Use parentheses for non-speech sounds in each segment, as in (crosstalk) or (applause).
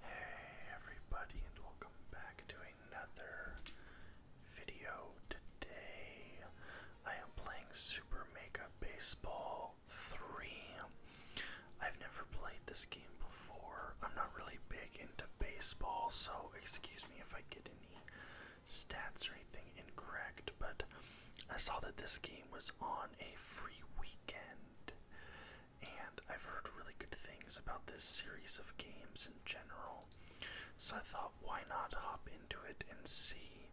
Hey everybody and welcome back to another video. Today I am playing Super Mega Baseball 3. I've never played this game before. I'm not really big into baseball, so excuse me if I get any stats or anything incorrect, but I saw that this game was on a free weekend and I've heard really good things about this series of games in general. So I thought, why not hop into it and see?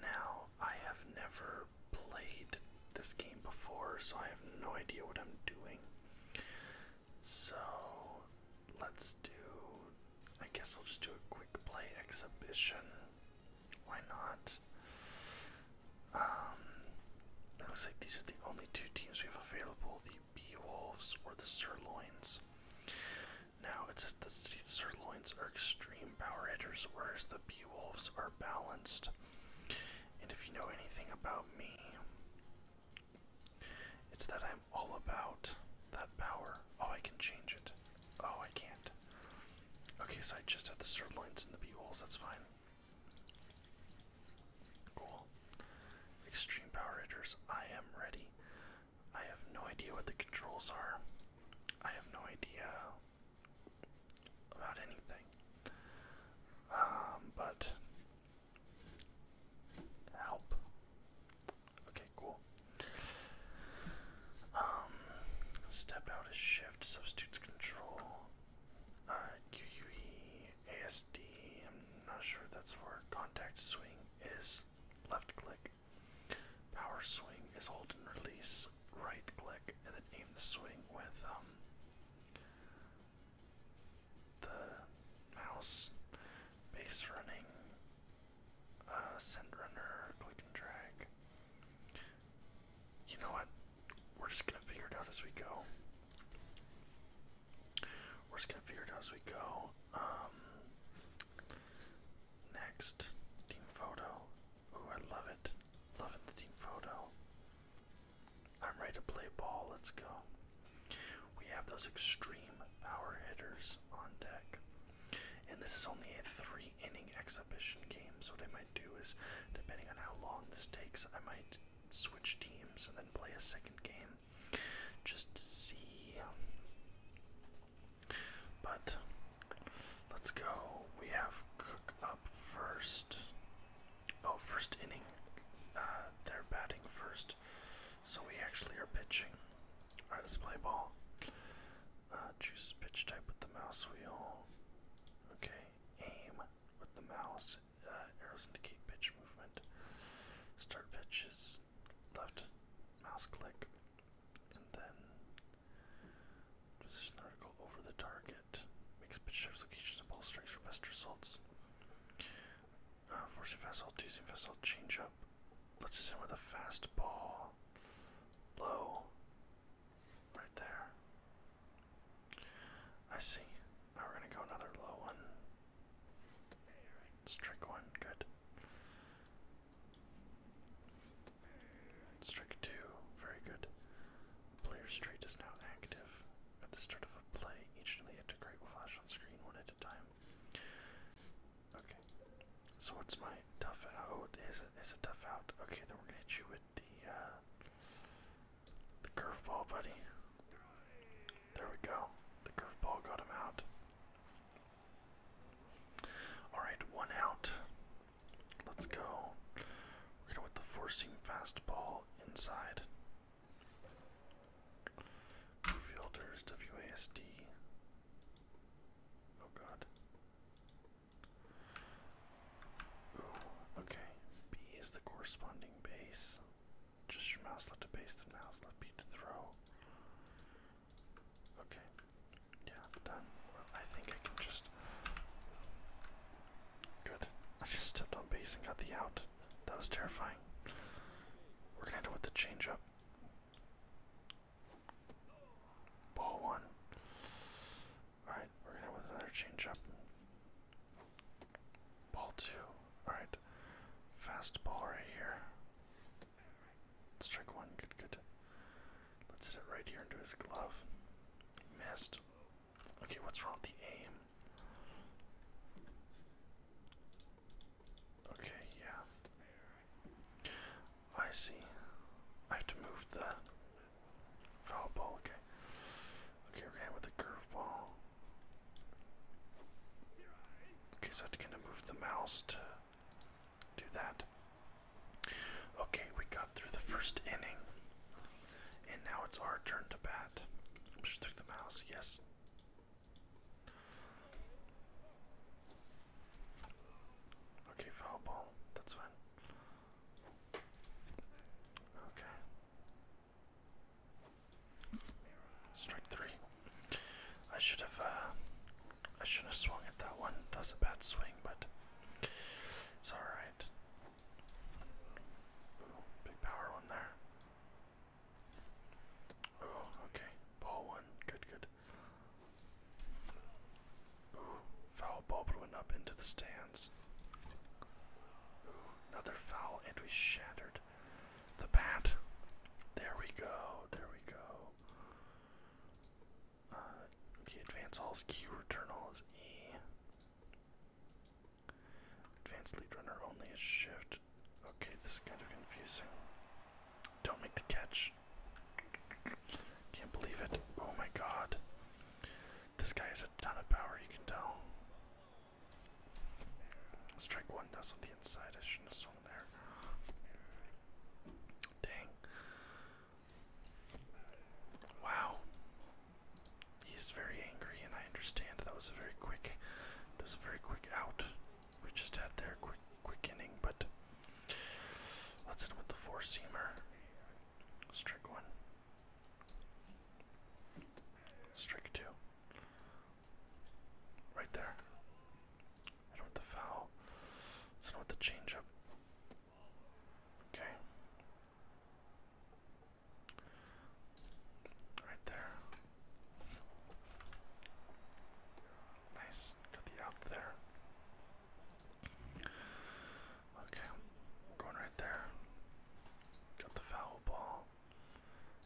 Now, I have never played this game before, so I have no idea what I'm doing. So, let's do. I guess I'll just do a quick play exhibition. Why not? Um, it looks like these are the only two teams we have available: the Bee Wolves or the Sirloins. Now it says the Sirloins are extreme power hitters, whereas the Bee Wolves are balanced. And if you know anything about me, it's that I'm all about that power. Oh, I can change it. Oh, I can't. Okay, so I just have the sirloins and the bee wolves, that's fine. Cool. Extreme Power Rangers, I am ready. I have no idea what the controls are. I have no idea about anything. Um, but help. Okay, cool. Um, step out is shift. Shift substitutes control. Uh, ASD. I'm not sure that's for contact swing. Is left click. Power swing is hold and release. Right click, and then aim the swing with um, the mouse. Base running. Uh, send runner. Click and drag. You know what? We're just gonna figure it out as we go. We're just gonna figure it out as we go. Um, next, team photo. Ooh, I love it. Loving the team photo. I'm ready to play ball. Let's go. We have those extreme power hitters on deck. And this is only a three inning exhibition game, so they might do is, depending on how long this takes, I might switch teams and then play a second game just to see. But let's go. We have Cook up first. Oh, first inning. Uh, they're batting first, so we actually are pitching. Alright, let's play ball. Uh, choose pitch type with the mouse wheel. Okay, aim with the mouse. Uh, arrows indicate pitch movement. Start pitch is left mouse click, and then position the article over the target. Makes pitch types, locations, and ball strikes for best results. Uh, forcing fastball, teasing fastball, change up. Let's just end with a fastball. Low. Right there. I see. Now we're gonna go another low one. let one, good. let two, very good. Player street is now active. At the start of a play, each of the integrate flash on screen one at a time. Okay, so what's my tough out? Oh, is it is a tough out? Okay, then we're gonna hit you with the uh, the curveball, buddy. There we go. The curveball got him out. All right, one out. Let's go. We're gonna hit the forcing fastball inside. Fielders WASD. Oh God okay. B is the corresponding base. Just your mouse left to base, the mouse left B to throw. Okay. Yeah, done. Well, I think I can just. Good. I just stepped on base and got the out. That was terrifying. We're gonna have to with the change up. Ball one. Alright, we're gonna with another change up. Ball two. Alright. Fast ball right here. Strike one, good, good. Let's hit it right here into his glove. Missed. Okay, what's wrong with the aim? Okay, yeah. I see. I have to move the foul Okay. Okay, we're going with the curveball. Okay, so I have to move the mouse to do that. Okay, we got through the first inning. And now it's our turn to bat. Push through the mouse, yes. Okay, foul ball. That's fine. Okay. Strike three. I should have uh, I should have swung at that one. That a bad swing, but it's alright. Big power one there. Oh, okay. Ball one. Good, good. foul ball, but went up into the stands. another foul, and we shattered the bat. There we go, there we go. Uh, okay, advance all is Q, return all is E. Advance lead runner only is shift. Okay, this is kind of confusing. Don't make the catch damage. Can't believe it. Oh my god. This guy has a ton of power, you can tell. Strike one, that's on the inside. I should have swung there. Dang. Wow. He's very angry, and I understand that was a very quick, that was a very quick out. We just had their quick quickening, but let's hit him with the four seamer. Strike one. Strike two. Right there. I don't want the foul. Let's not with the change Okay. Right there. Nice. Got the out there. Okay. Going right there. Got the foul ball.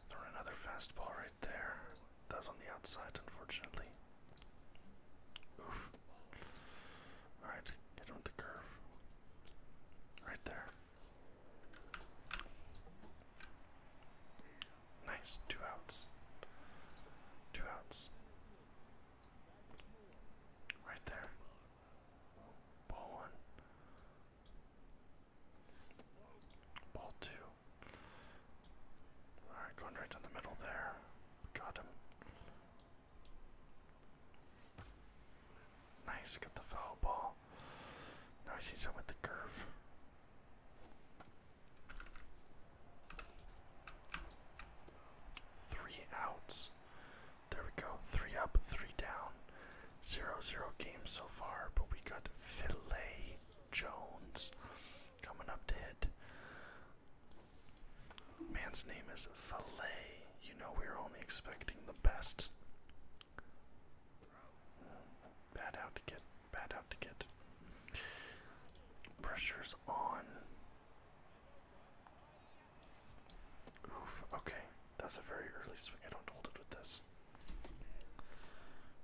Throw another fastball right there. That's on the outside, unfortunately. Oof. Alright, get on the curve. Right there. Nice, two outs. Two outs. Right there. Ball one. Ball two. Alright, going right down the middle there. Got him. Nice, get the foul ball. Nice, he's see with the curve. Three outs. There we go. Three up, three down. Zero zero game so far, but we got Filet Jones coming up to hit. Man's name is Filet. You know we we're only expecting the best. Bad out to get bad out to get. Pressure's on. Oof, okay. That's a very early swing. I don't hold it with this.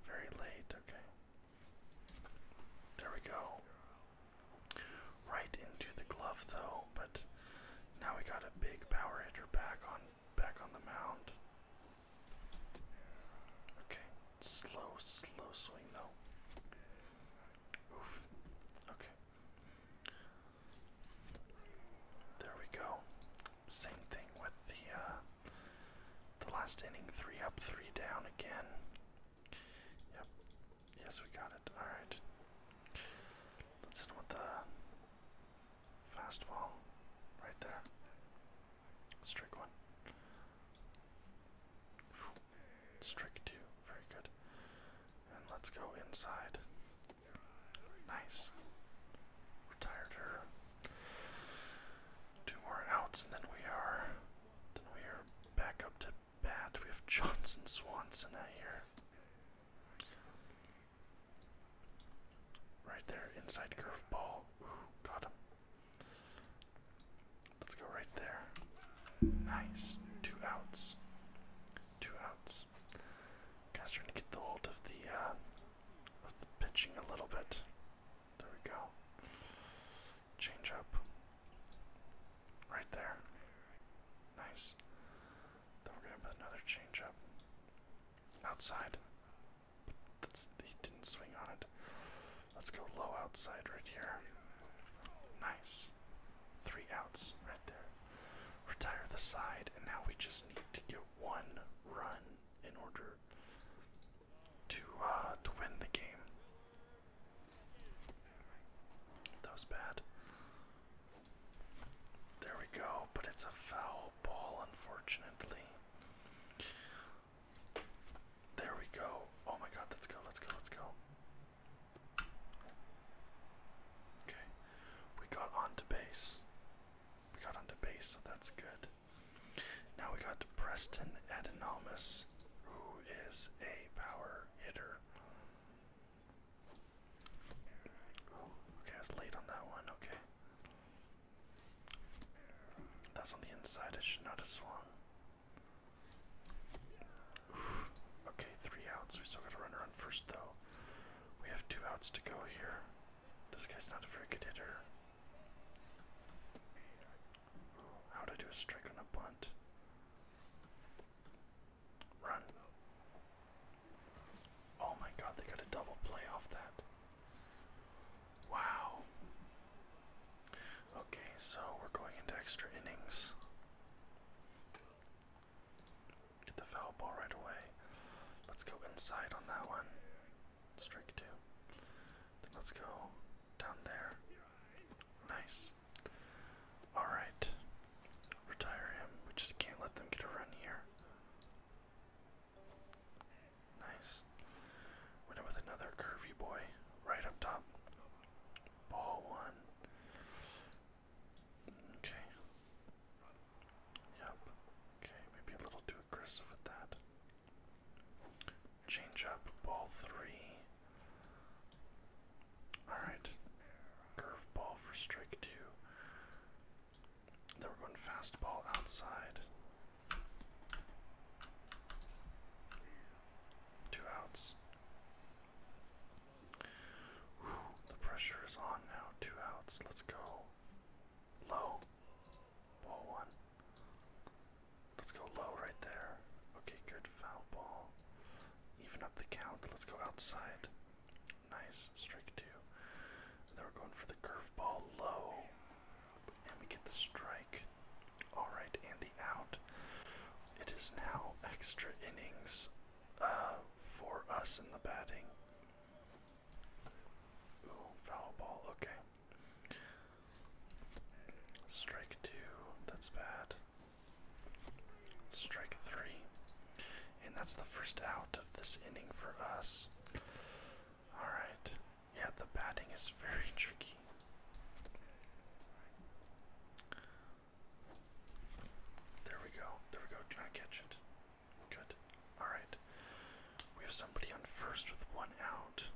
Very late, okay. There we go. Right into the glove though, but now we got a big power hitter back on back on the mound. Okay. Slow, slow swing though. Oof. Okay. There we go. Same thing with the uh, the last inning. Three up, three down again. Yep. Yes, we got it. All right. Let's see what with the fastball right there. Strike one. Strike two. Very good. And let's go inside. Nice. Retired her. Two more outs, and then we are, then we are back up to bat. We have Johnson Swanson out here. Right there, inside curveball. got him. Let's go right there. Nice. Two outs. Two outs. Guys are gonna get the hold of the uh, of the pitching a little bit. There we go. Change up. Right there. Nice. Then we're gonna put another change up. Outside he didn't swing on it. Let's go low outside right here. Nice. Three outs right there. Retire the side, and now we just need to get one run in order to uh, to win the game. That was bad. There we go, but it's a foul ball, unfortunately. There we go. Oh my god, let's go, let's go, let's go. Okay. We got onto base. We got onto base, so that's good. Now we got Preston Adenomus, who is a power hitter. Okay, I was late on that one. Okay. That's on the inside. It should not have swung. Okay, three outs. We still got a runner on first, though. We have two outs to go here. This guy's not a very hitter. Ooh, how to do a strike on a bunt? Run. Oh my god, they got a double play off that. Wow. Okay, so we're going into extra innings. Get the foul ball right away. Let's go inside on that one. Strike two. let's go down there. Nice. Alright. Retire him. We just can't let them get a run here. Nice. Went with another curvy boy right up top. Ball one. Okay. Yep. Okay, maybe a little too aggressive with that. Change up. Ball three. Alright. Curve ball for strike two. Then we're going fastball outside. Two outs. the pressure is on now. Two outs. Let's go. Low. Ball one. Let's go low right there. Okay, good foul ball. Even up the count. Let's go outside. Nice. Strike two. then we're going for the curveball low. And we get the strike. Alright, and the out. It is now extra innings uh, for us in the batting. Ooh, foul ball, okay. Strike two, that's bad. Strike three. And that's the first out of this inning for us. Alright. Yeah, the batting is very (laughs) tricky. There we go. There we go. Did not catch it. Good. Alright. We have somebody on first with one out.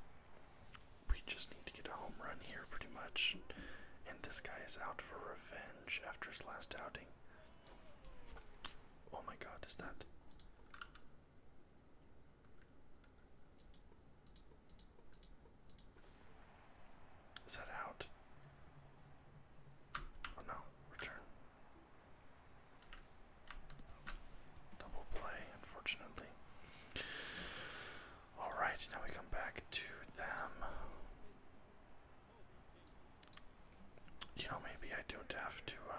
We just need to get a home run here, pretty much. And this guy is out for revenge after his last outing. Oh my god, is that. Is that out? Oh no, return. Double play, unfortunately. Alright, now we come back to them. You know, maybe I don't have to uh,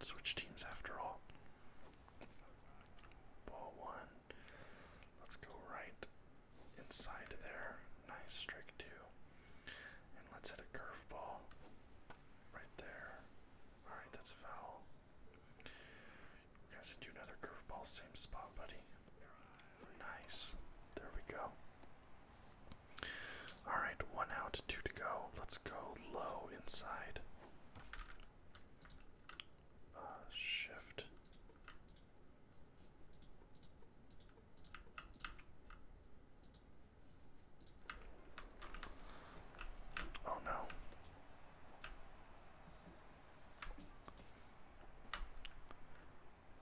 Switch teams after all. Ball one. Let's go right inside there. Nice strike two. And let's hit a curveball right there. Alright, that's a foul. You guys do another curveball, same spot, buddy. Nice. There we go. Alright, one out, two to go. Let's go low inside. Uh, shift. Oh no.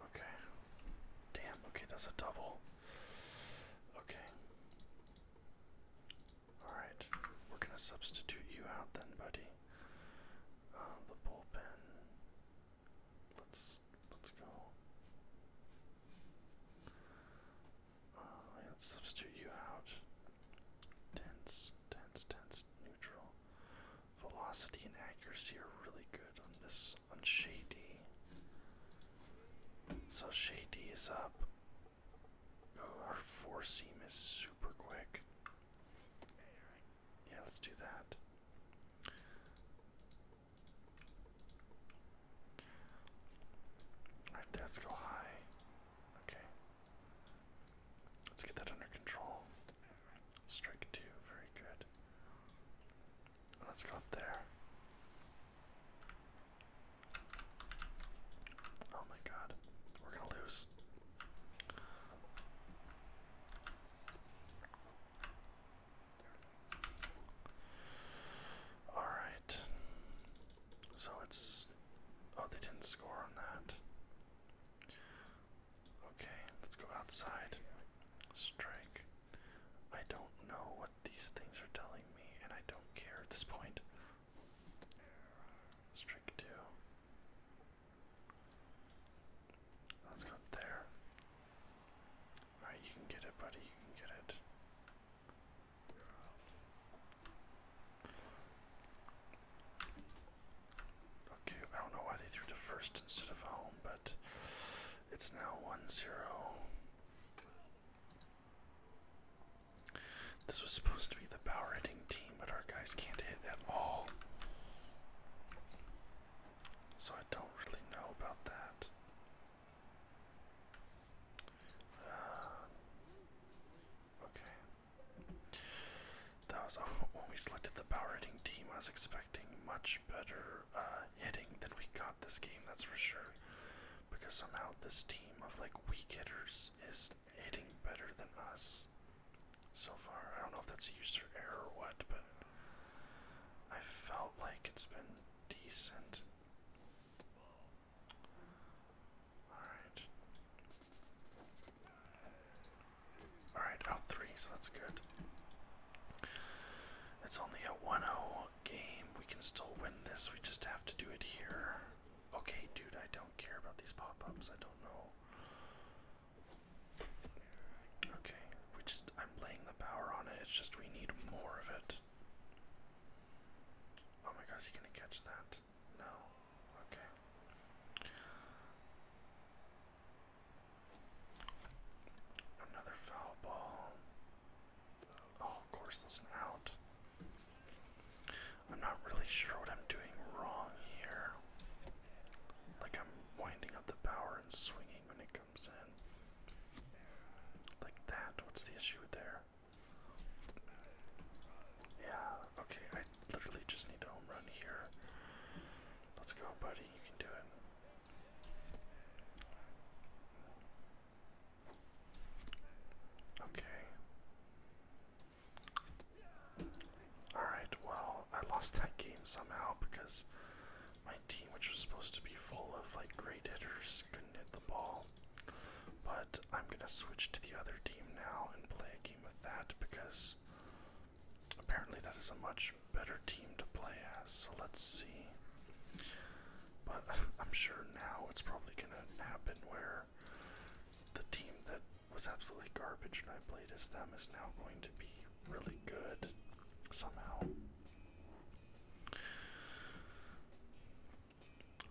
Okay. Damn, okay, that's a double. Okay. Alright, we're gonna substitute you out then, buddy. Uh, the bullpen. Let's let's go. Uh, let's substitute you out. Tense, tense, tense, neutral. Velocity and accuracy are really good on this else on Shady. So Shady is up. her oh, four seam is super quick. Yeah, let's do that. Alright, let's go high. Okay. Let's get that under control. Strike two, very good. Let's go up there. Oh my god, we're gonna lose. Alright. So it's. Oh, they didn't score on that. Okay, let's go outside. Strike. I don't know these things are telling me, and I don't care at this point. Strike two. Let's go there. Alright, you can get it, buddy. You can get it. Okay, I don't know why they threw to first instead of home, but it's now 1 this was supposed to be the power hitting team, but our guys can't hit at all. So I don't really know about that. Uh, okay. That was oh, when we selected the power hitting team. I was expecting much better uh, hitting than we got this game, that's for sure. Because somehow this team of like weak hitters is hitting better than us so far. I don't know if that's a user error or what, but I felt like it's been decent. Alright. Alright, out three, so that's good. It's only a 1 game. We can still win this. We just have to do it here. Okay, dude, I don't care about these pop-ups. I don't know. Okay, we just I'm laying the power on it. It's just we need more of it. Oh my god, is he gonna catch that? No. Okay. Another foul ball. Oh, of course, it's out. I'm not really sure what I'm doing wrong here. Like, I'm winding up the power and swinging when it comes in. Like that. What's the issue there? Yeah, okay, I literally just need a home run here. Let's go, buddy. You can do it. Okay. Alright, well, I lost that game somehow because my team, which was supposed to be full of like great hitters, couldn't hit the ball. But I'm gonna switch to the other team now and play a game with that because apparently that is a much better team to play as, so let's see. But (laughs) I'm sure now it's probably going to happen where the team that was absolutely garbage and I played as them is now going to be really good somehow.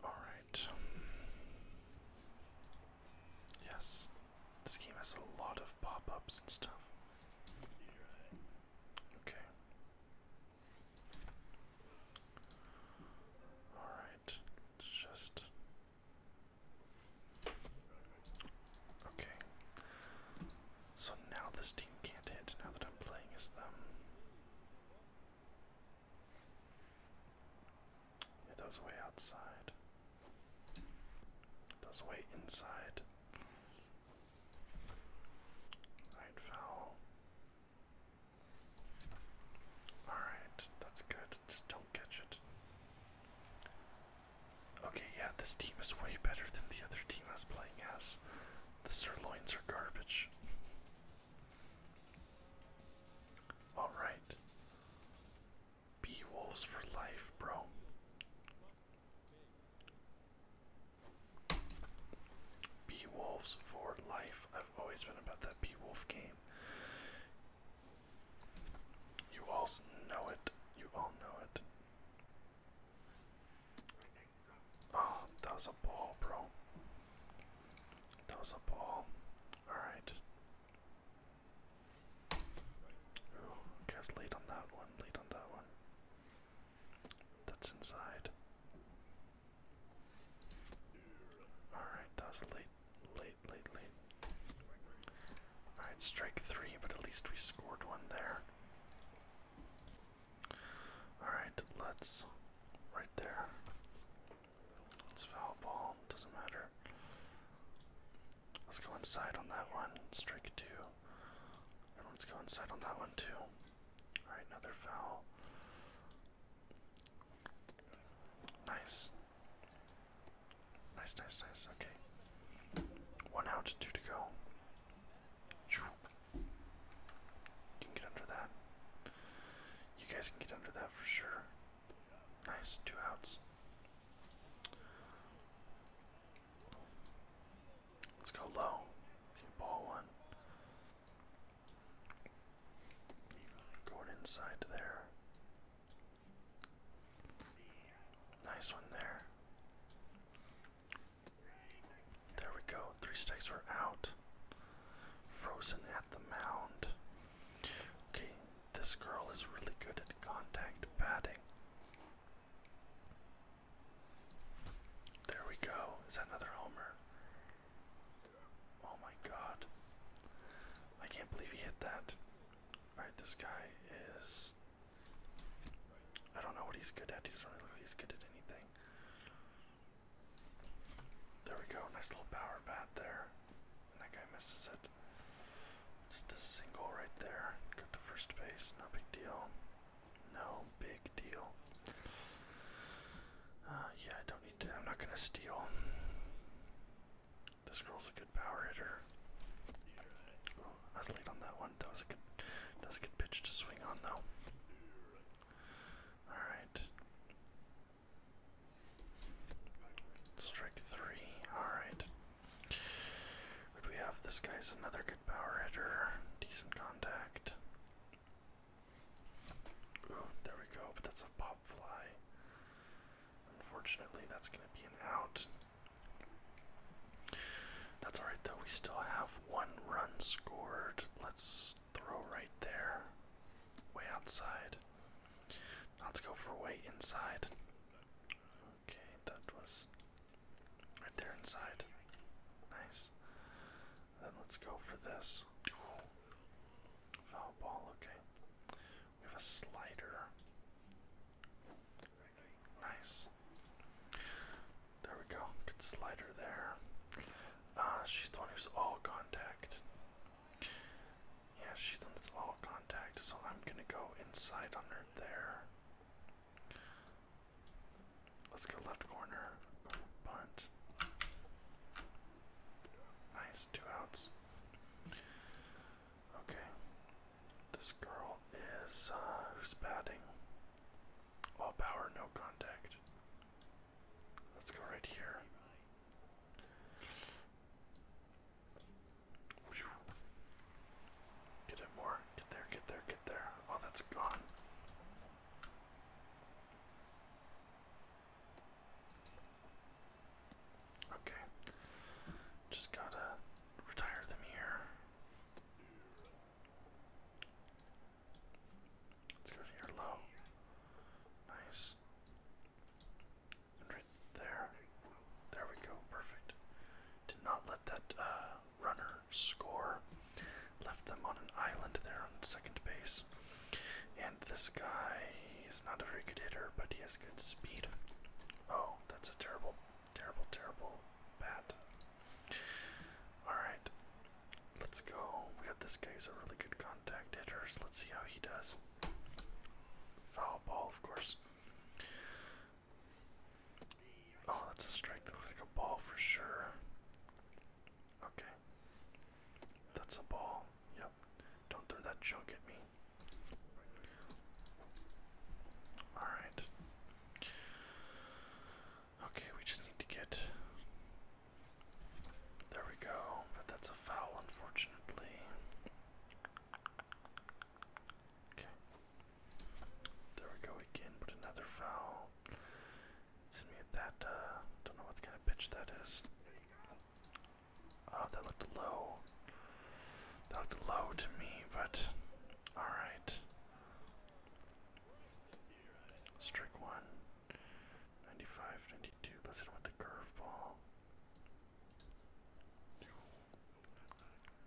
Alright. Yes, this game has a lot of pop ups and stuff. Okay. Alright, let's just. Okay. So now this team can't hit now that I'm playing as them. It does way outside. It does way inside. Right foul. Alright, that's good. Just don't catch it. Okay, yeah, this team is way better than the other team I was playing as. The sirloins are garbage. (laughs) Alright. Be wolves for life, bro. Beowulf's for life. I've always been about that Beowulf game. You all know it. You all know it. Oh, that was a ball, bro. That was a ball. Alright. Ooh, guys, on that one, lead on that one. That's inside. Alright, that late, late, late, late. Alright, strike three, but at least we scored one there. Alright, let's. Right there. It's foul ball, doesn't matter. Let's go inside on that one. Strike two. And let's go inside on that one too. Alright, another foul. Nice. Nice, nice, nice. Okay. One out, two to go. You can get under that. You guys can get under that for sure. Nice, two outs. Let's go low. ball one. Going inside there. Nice one there. There we go. Three strikes were out. Frozen at the mound. Okay, this girl is really good at contact batting. There we go. Is that another homer? Oh my god. I can't believe he hit that. Alright, this guy is. I don't know what he's good at. He doesn't really look like he's good at anything. There we go. Nice little power bat there. And that guy misses it. Just a single right there. Got the first base. No big deal. No big deal. Uh, yeah, I don't need to. I'm not gonna steal. This girl's a good power hitter. I was late on that one. That was a good. That a good pitch to swing on though. All right. Strike three. All right we have? This guy's another good power hitter. Decent contact. Ooh, there we go, but that's a pop fly. Unfortunately, that's going to be an out. That's alright though, we still have one run scored. Let's throw right there. Way outside. Now let's go for way inside. Okay, that was right there inside. Nice. Then let's go for this. Foul ball, okay. We have a slider. Nice. There we go. Good slider there. Uh, she's the one who's all contact. Yeah, she's the one all contact, so I'm gonna go inside on her there. Let's go left corner. Punt. Nice, two outs. Okay. This girl is uh, who's batting. All power, no contact. Let's go right here. Get it more. Get there, get there, get there. Oh, that's gone. Okay. Just gotta retire them here. Let's go to here low. Nice right there. There we go. Perfect. Did not let that uh, runner score. Left them on an island there on second base. And this guy, he's not a very good hitter, but he has good speed. Oh, that's a terrible, terrible, terrible bat. Alright, let's go. We got this guy who's a really good contact hitter, so let's see how he does. Foul ball, of course. Oh, that's a strike. That looks like a ball for sure. Okay. That's a ball. Yep. Don't throw that junk at me. Alright. Okay, we just need to get. There we go. But that's a foul, unfortunately. There we go again, but another foul. Send me at that, uh, don't know what kind of pitch that is. Oh, that looked low. That looked low to me, but alright. Strike one. 95, 92. with the curveball.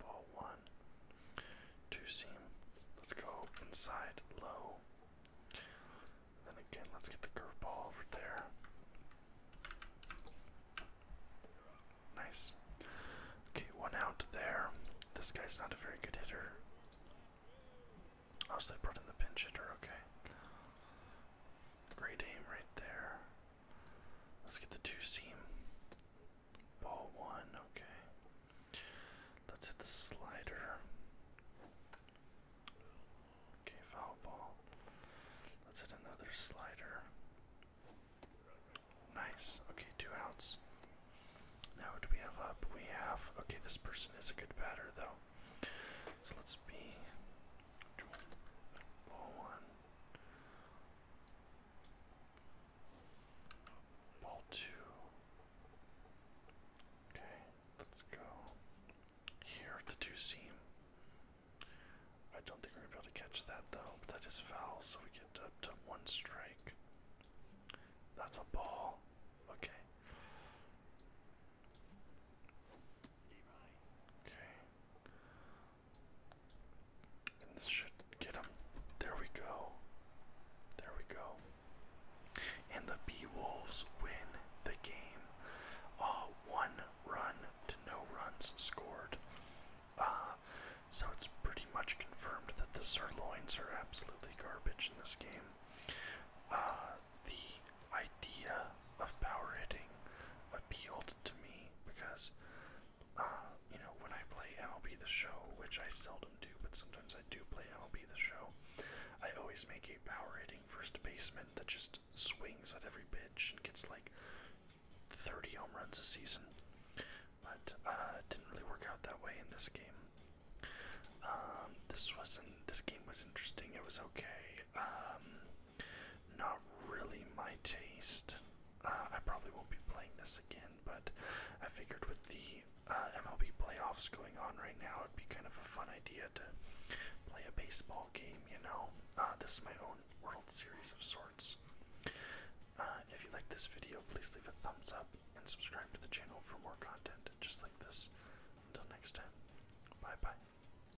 Ball one. Two seam. Let's go inside low. Then again, let's get the curveball over there. Nice. Okay, one out there. This guy's not a very good hitter. Oh, so brought in the pinch hitter, okay. Great aim right there. Let's get the two seam. Ball one, okay. Let's hit the slider. Okay, foul ball. Let's hit another slider. Nice. Okay, two outs. Now what do we have up? We have okay, this person is a good batter though. So let's be ball one. Ball two. Okay, let's go here the two seam. I don't think we're gonna be able to catch that though, that is foul, so we get up to one strike. That's a ball. Okay. Okay. And this should get him. There we go. There we go. And the Bee Wolves win the game. Uh, one run to no runs scored. Uh, so it's pretty much confirmed that the sirloins are absolutely garbage in this game. Uh, the idea of power hitting appealed to me because, uh, you know, when I play MLB The Show, which I seldom do, but sometimes I do play MLB The Show, I always make a power hitting first baseman that just swings at every pitch and gets like 30 home runs a season. But uh, it didn't really work out that way in this game. Um, this wasn't. This game was interesting. It was okay. Um, not really my taste. Uh, I probably won't be playing this again, but I figured with the uh, MLB playoffs going on right now, it'd be kind of a fun idea to play a baseball game, you know? Uh, this is my own World Series of sorts. if you like this video, please leave a thumbs up and subscribe to the channel for more content just like this. Until next time, bye bye.